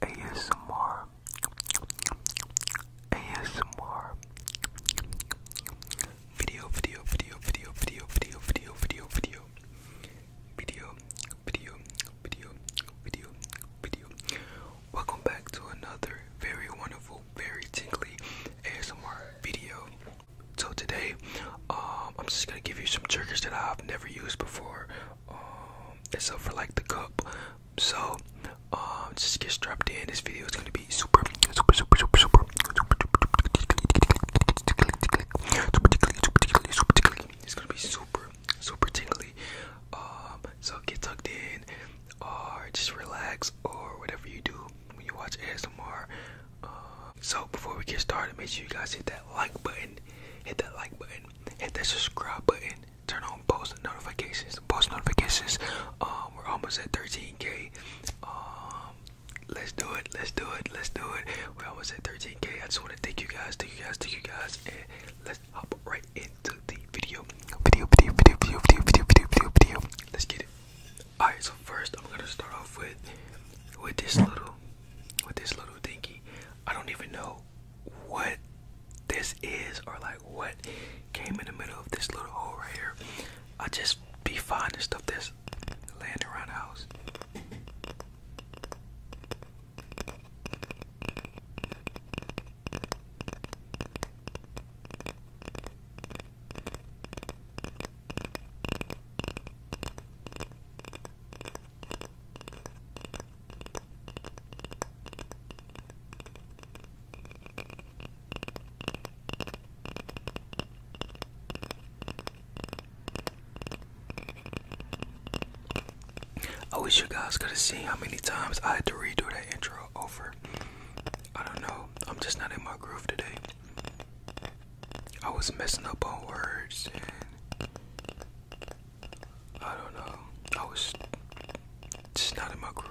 ASMR ASMR video video video video video video video video video video video video video video welcome back to another very wonderful very tingly ASMR video so today um I'm just gonna give you some triggers that I've never used before um it's up for like the cup so um just get strapped in this video is going to be super super super super super it's going to be super super tingly um so get tucked in or just relax or whatever you do when you watch ASMR uh, um, so before we get started make sure you guys hit that like button hit that like button hit that subscribe button turn on post notifications. Post notifications. Um, we're almost at 13k. Um, let's do it. Let's do it. Let's do it. We're almost at 13k. I just want to thank you guys. Thank you guys. Thank you guys. And let's hop right into the video. Video. Video. Video. Video. Video. Video. Video. Video. video. Let's get it. Alright. So first, I'm gonna start off with with this little with this little thingy. I don't even know what this is or like what came in the middle of this little hole right here. I just be finding stuff that's laying around the house. I wish you guys could have seen how many times I had to redo that intro over. I don't know. I'm just not in my groove today. I was messing up on words I don't know. I was just not in my groove.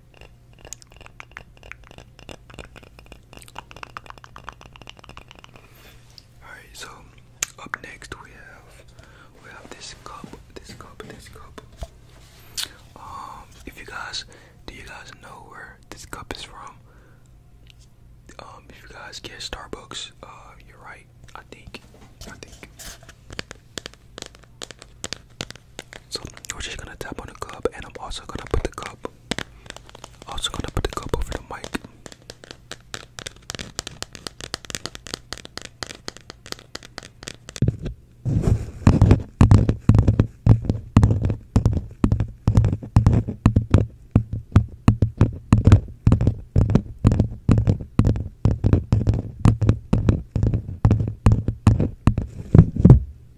Alright, so up next we have we have this cup, this cup, this cup. Um, if you guys, do you guys know where this cup is from? Um, if you guys get Starbucks, uh, you're right. I think, I think. So we're just gonna tap on the cup, and I'm also gonna put the cup. Also gonna put the cup over the mic. I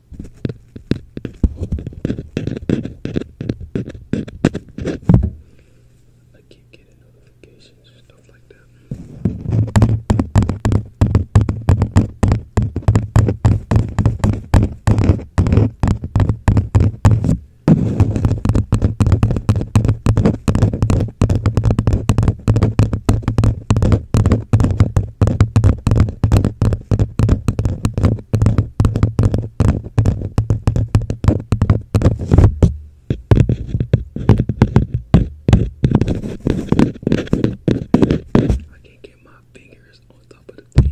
keep getting notifications stuff like that. I can't get my fingers on top of the thing.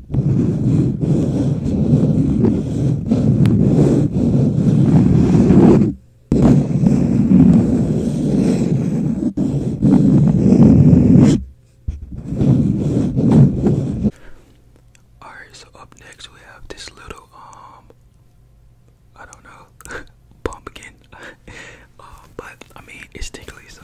Alright, so up next we have this little um I don't know pumpkin. Uh, but I mean it's tickly so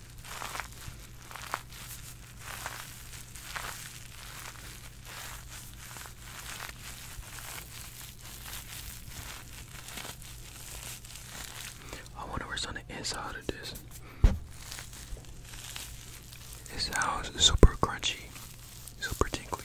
I wonder what's on the inside of this. house is super crunchy, super tinkly.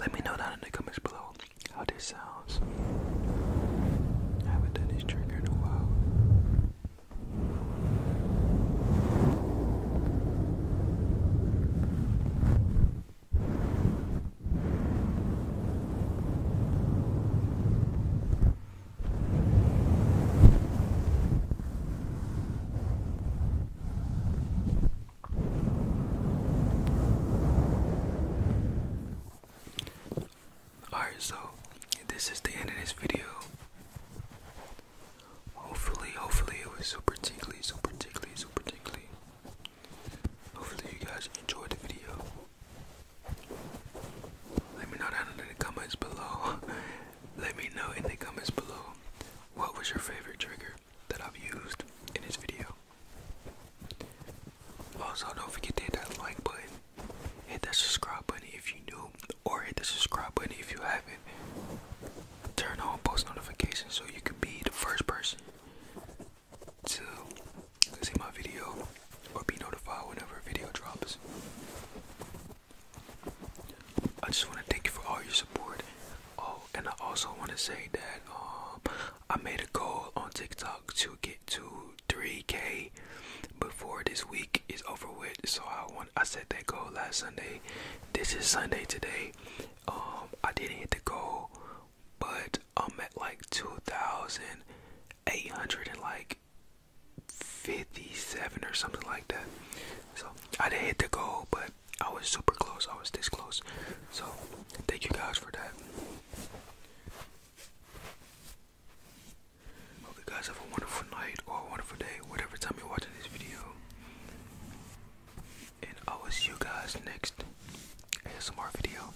Let me know down in the comments below how this sounds. I haven't done this trigger in a while. Alright, so this is the end of this video. Hopefully, hopefully, it was super tingly, super tingly, super tingly. Hopefully, you guys enjoyed the video. Let me know down in the comments below. Let me know in the comments below what was your favorite trigger that I've used in this video. Also, don't forget to hit that like button, hit that subscribe button if you new, or hit the subscribe button if you haven't. Turn on post notifications so you can be the first person to see my video or be notified whenever a video drops. I just want to thank you for all your support. Oh, and I also want to say that um, I made a goal on TikTok to get to 3K before this week is over with. So I want I set that goal last Sunday. This is Sunday today. Um, I didn't hit the goal, but I'm at like 2,800 and like 57 or something like that. So I didn't hit the goal, but I was super close. I was this close. So thank you guys for that. Hope you guys have a wonderful night or a wonderful day, whatever time you're watching this video. And I will see you guys next ASMR video.